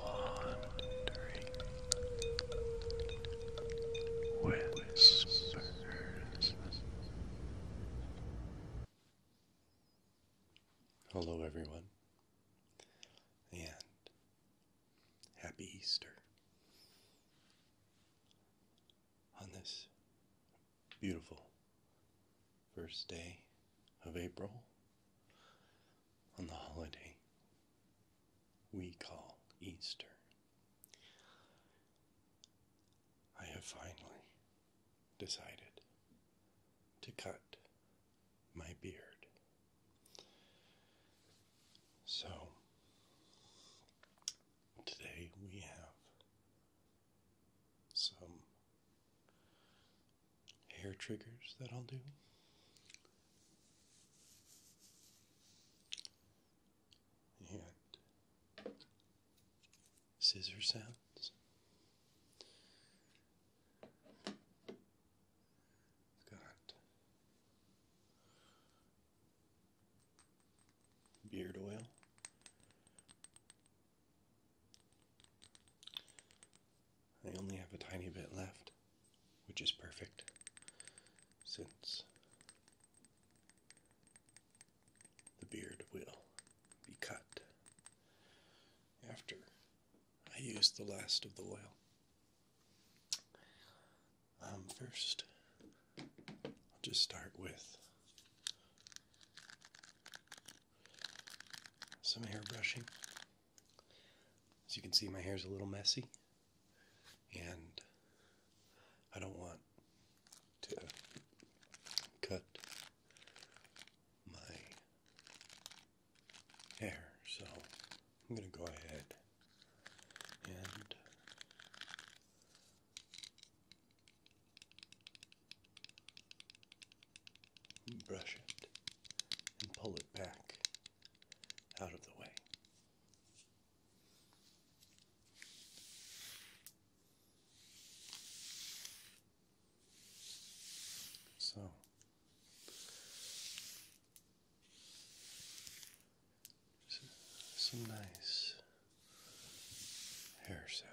Wandering Whispers. Hello, everyone, and happy Easter. On this Beautiful first day of April on the holiday we call Easter. I have finally decided to cut my beard. So, today we have some hair triggers that I'll do. And scissor sounds. got beard oil I only have a tiny bit left, which is perfect since the beard will be cut after I use the last of the oil. Um, first, I'll just start with some hair brushing. As you can see, my hair is a little messy, and I don't want to cut my hair, so I'm going to go ahead and brush it, and pull it back out of the way. So, some nice hair sounds.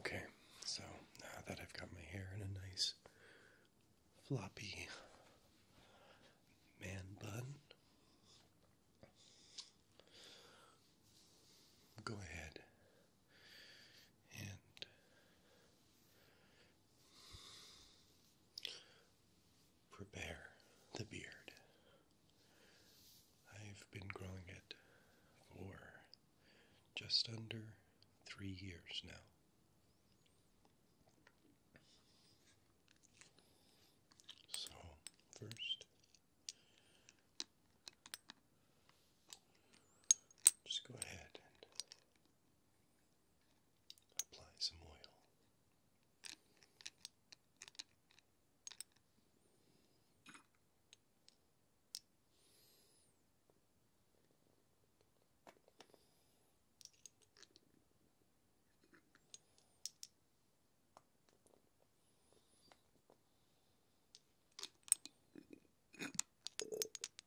Okay, so now that I've got my hair in a nice floppy man bun, go ahead and Prepare the beard. I've been growing it for just under three years now. So, first, just go ahead and Apply some oil.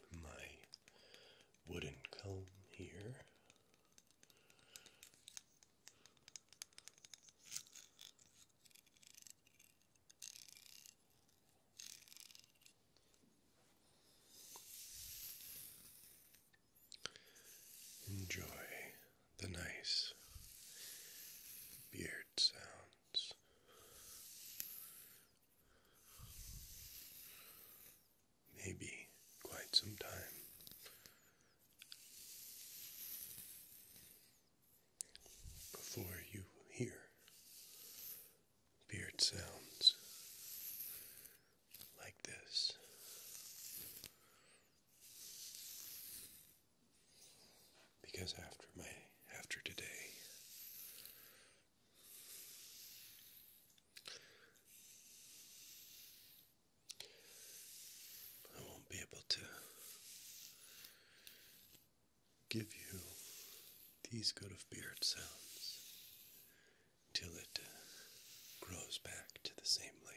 Got my wooden comb here Enjoy the nice beard sounds maybe quite some time. Before you hear beard sounds like this. Because after my after today I won't be able to give you these good of beard sounds till it uh, grows back to the same length.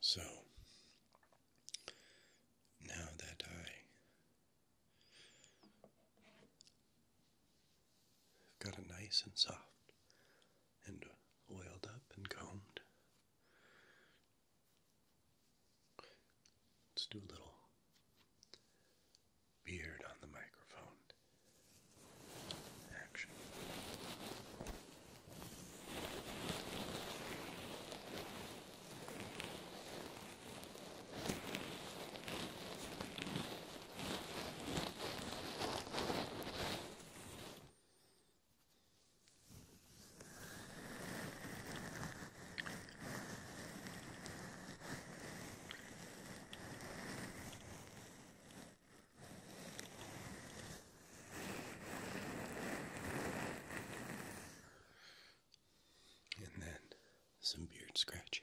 So, now that I've got it nice and soft and oiled up and combed, let's do a little beard on the microphone action. Good. And then some beard scratching.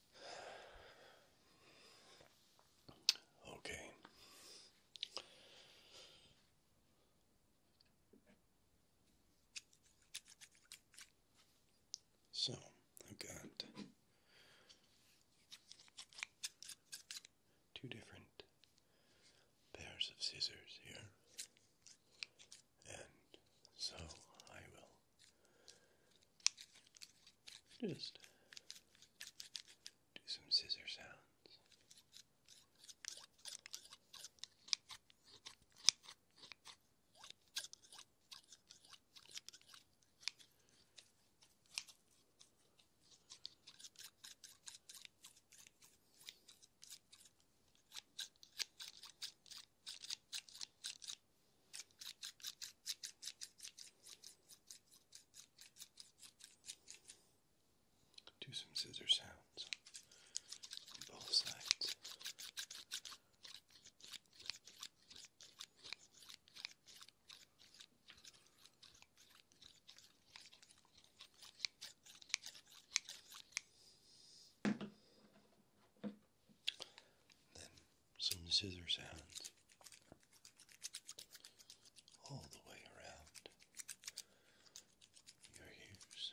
Okay. So I've got two different pairs of scissors here, and so I will just do some scissor sounds. Do some scissor sounds on both sides. Then some scissors sounds all the way around your ears.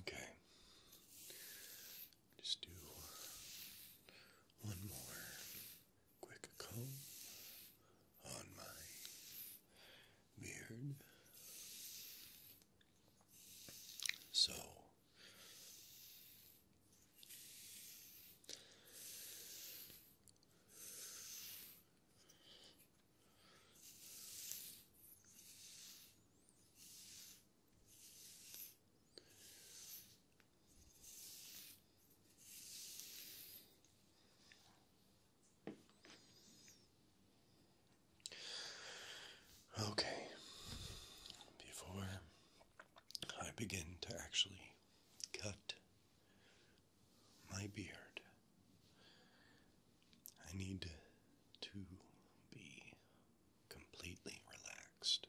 Okay. Just do one more quick comb on my beard. So Okay, before I begin to actually cut my beard. I need to be completely relaxed.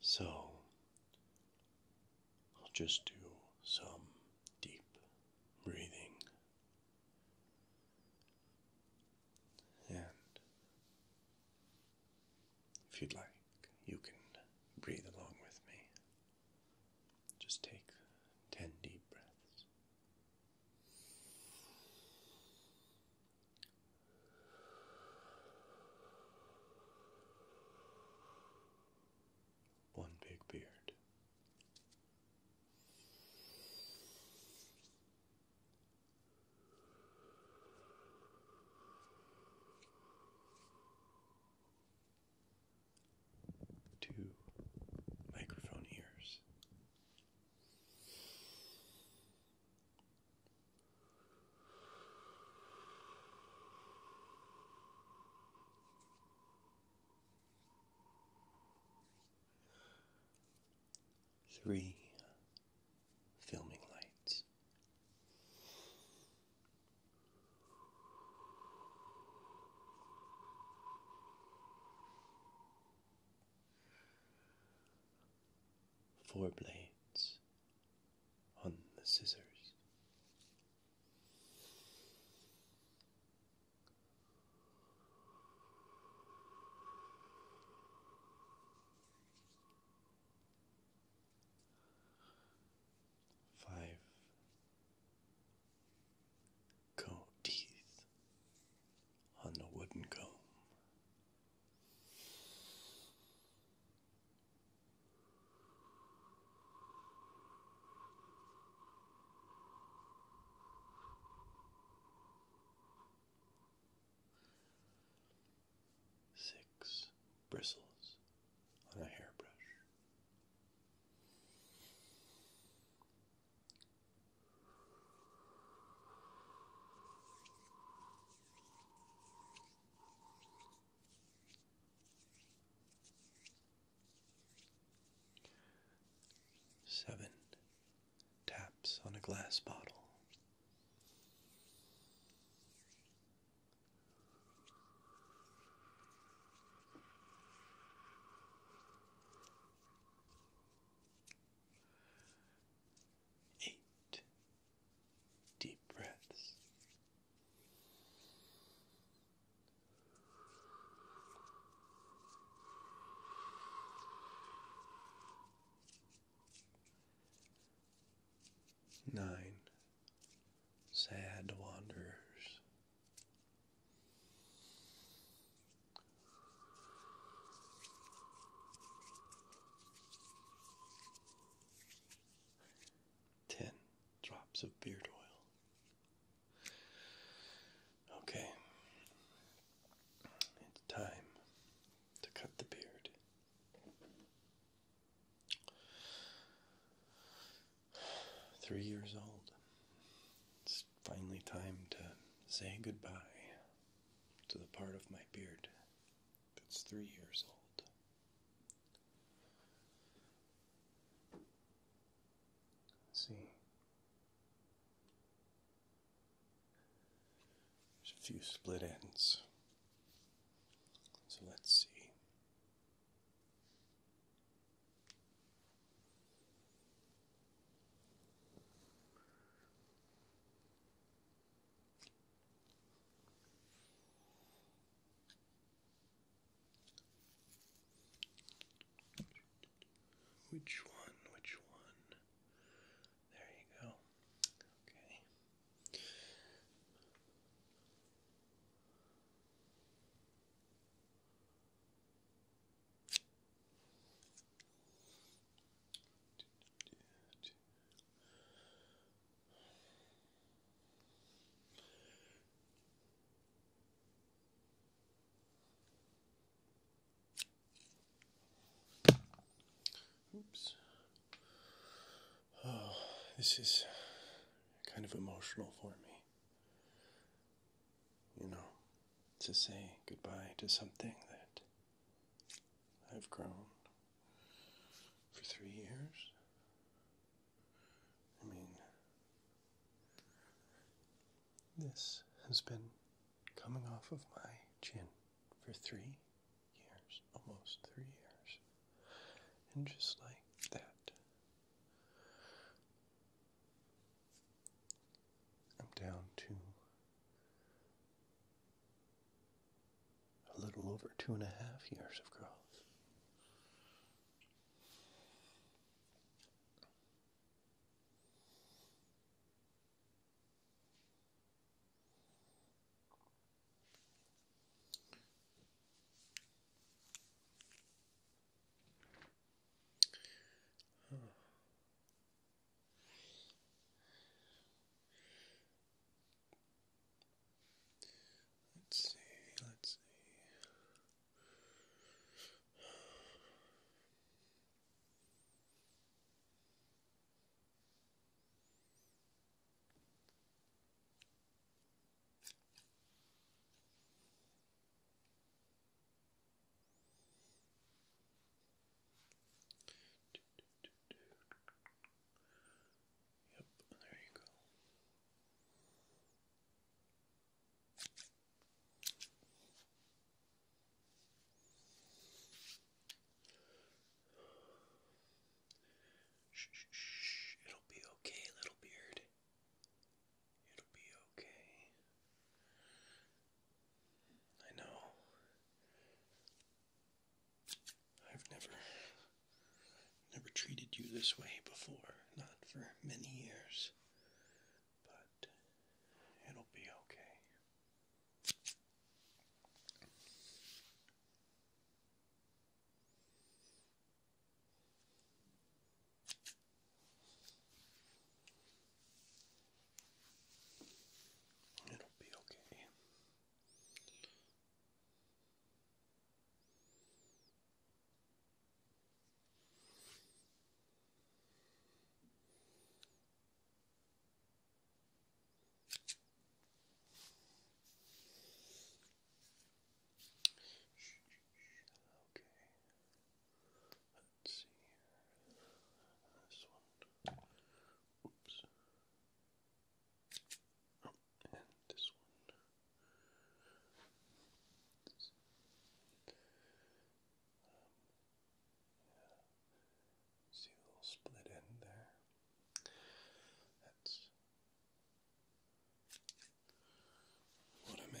So, I'll just do some deep breathing and if you'd like, you can breathe along with me. Just take 10 deep breaths. One big beard. Two microphone ears. Three filming lights. Four blades on the scissors. Five comb teeth on the wooden comb six bristles on a hairbrush. Seven taps on a glass bottle. Eight deep breaths. Nine sad wanderers. Ten drops of beard oil. Okay, it's time to cut the beard. Three years old. It's finally time to say goodbye to the part of my beard that's three years old. See, there's a few split ends. So let's see. Which one? Which one? There you go. Okay. Oops. Oh, this is kind of emotional for me. You know, to say goodbye to something that I've grown for three years. I mean, this has been coming off of my chin for three years, almost three years. And just like that, I'm down to a little over two and a half years of growth. Huh. Let's see, let's see. Yep, there you go. Shh, shh, shh. It'll be okay, little beard. It'll be okay. I know. I've never never treated you this way before, not for many years. But it'll be okay. It'll be okay. Okay. Let's see here. This one. Oops. Oh, and this one. See the little split end there. That's what I'm after.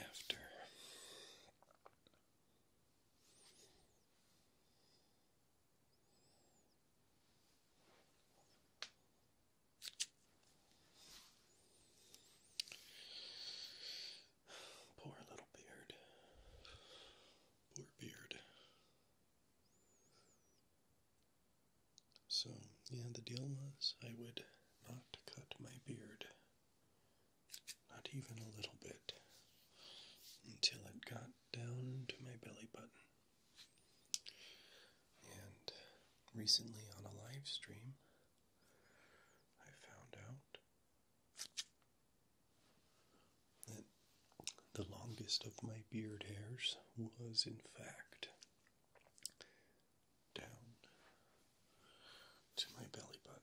Poor little beard. Poor beard. So, yeah, the deal was I would not cut my beard, not even a little bit, until it got down to my belly button. And recently on a live stream, I found out that the longest of my beard hairs was, in fact, down to my belly button.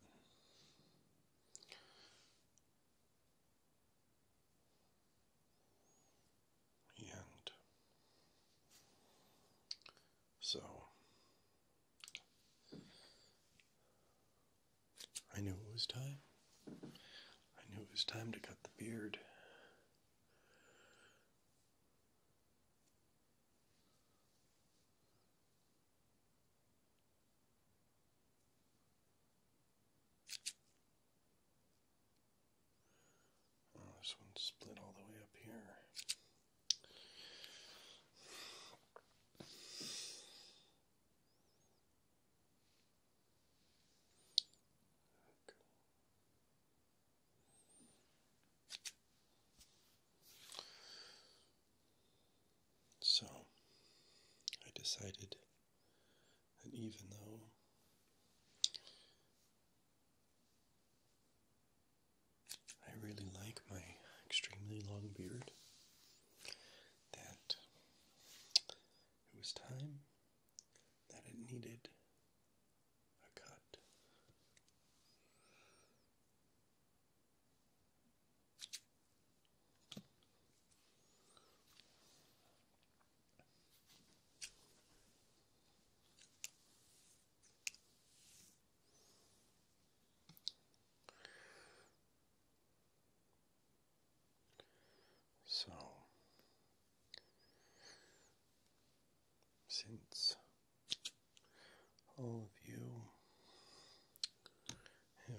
And so I knew it was time. I knew it was time to cut the beard. Oh, this one's split all the way up here. So I decided that even though I really like my extremely long beard, that it was time that it needed a cut. So, since all of you have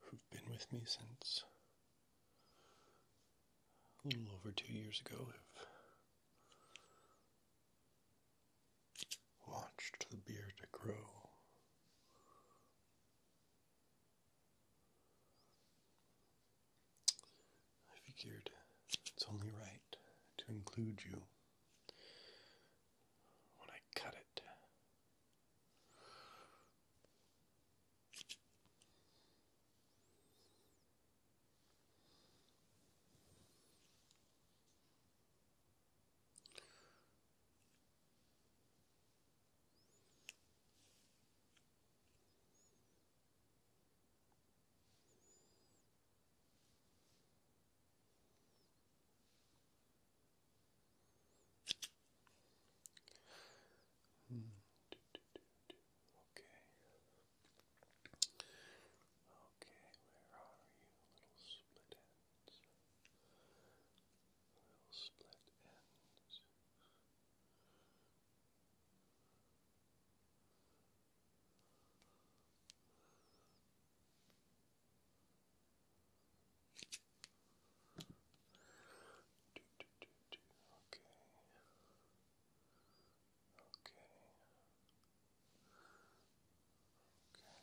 who've been with me since a little over two years ago have watched the beard grow I figured it's only right to include you when I cut it. Hmm. Okay. Okay, where are you, little split head? little split ends. Do, do, do, do. Okay. Okay. Okay.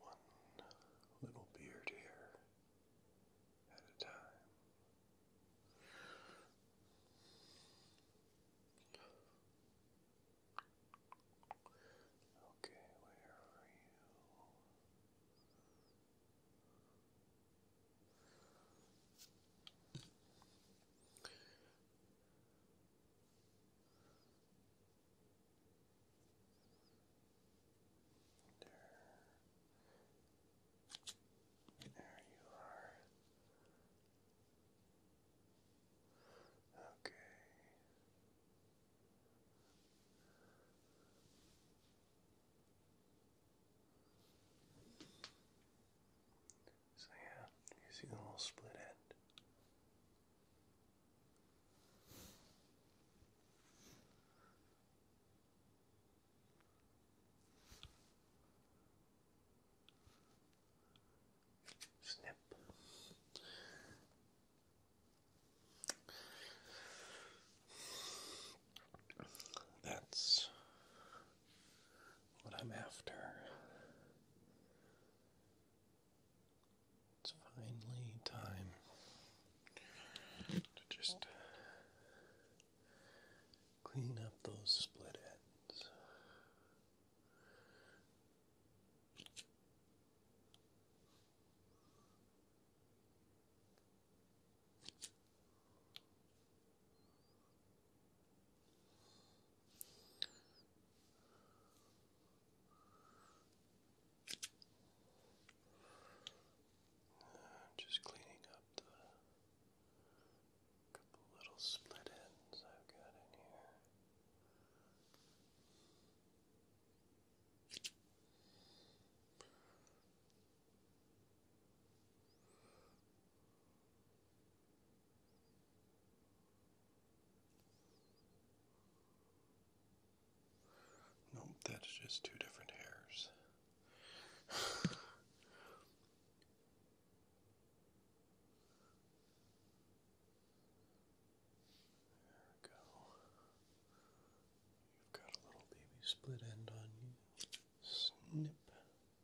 One little beard here at a time. Okay, where are you? There. There you are. Okay. So yeah, using a little split end. Snip. That's what I'm after. It's finally time to just clean up those split ends. Just cleaning up the couple little split ends I've got in here. Just Nope, that's just two different hairs. there we go. You've got a little baby split end on you. Snip.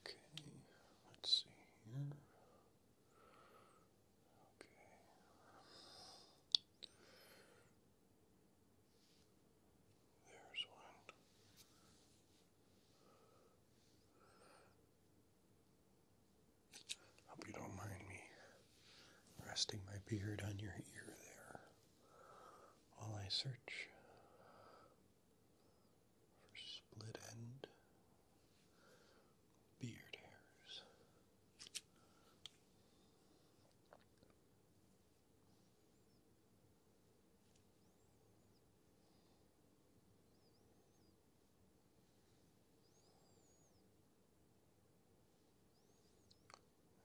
Okay, let's see here. Okay. There's one. Hope you don't mind me resting my beard on your ear there while I search for split end beard hairs.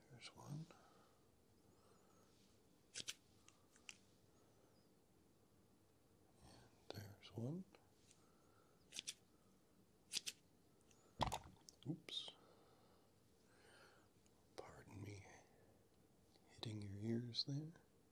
There's one. there's one. Oops. Pardon me hitting your ears there. Okay.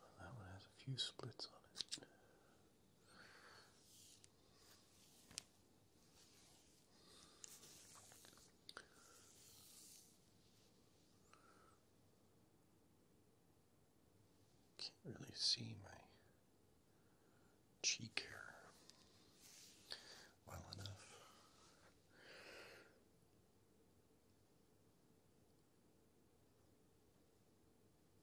Well, that one has a few splits on it. Can't really see my cheek hair well enough.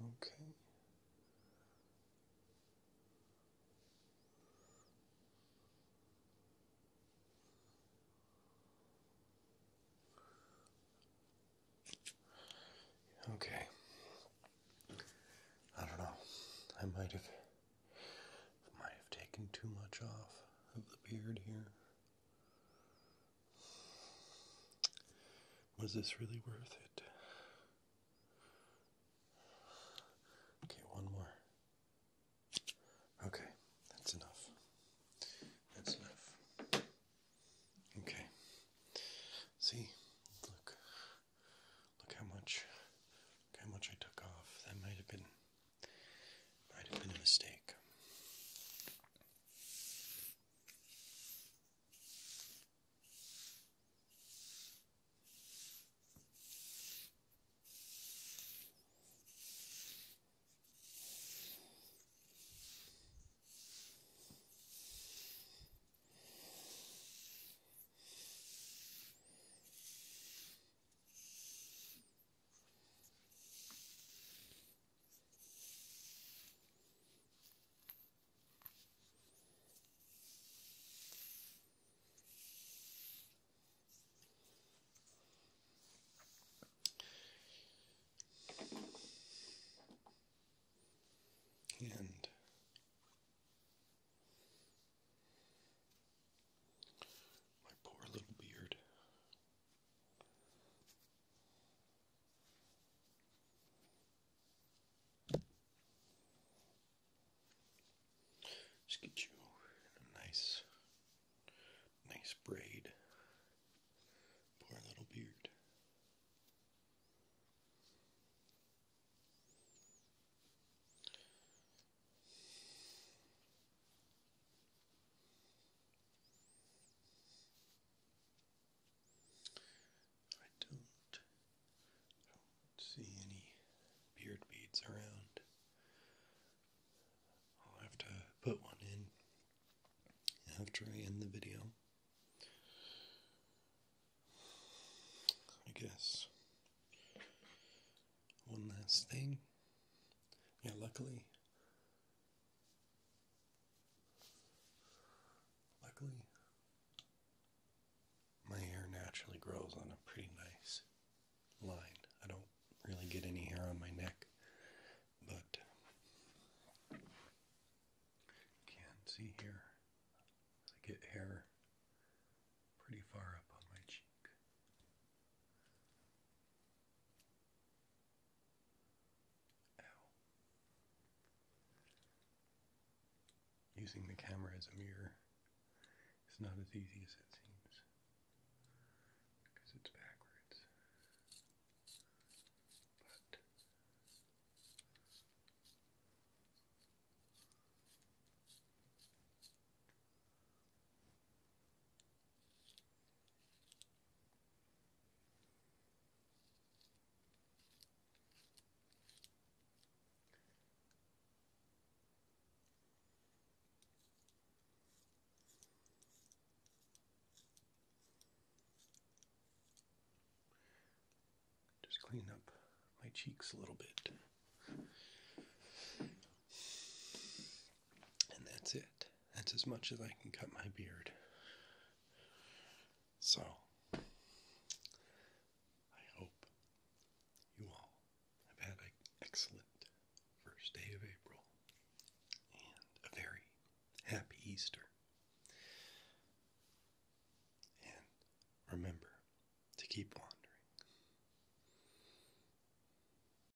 Okay. Okay. I don't know. I might have might have taken too much off of the beard here. Was this really worth it? Okay, one more. Okay, that's enough. That's enough. Okay. See, look. Look how much how much I took off. That might have been might have been a mistake. And my poor little beard just get you a nice, nice braid for little beard. I don't, see any beard beads around. I'll have to put one in after I end the video. I guess one last thing. Yeah, luckily Luckily, my hair naturally grows on a pretty nice line. I don't really get any hair on my neck, but can see here. I get hair pretty far up on my cheek. Using the camera as a mirror is not as easy as it seems because it's backwards. But just clean up my cheeks a little bit. And that's it. That's as much as I can cut my beard. So, I hope you all have had an excellent first day of April and a very happy Easter. And remember to keep wandering.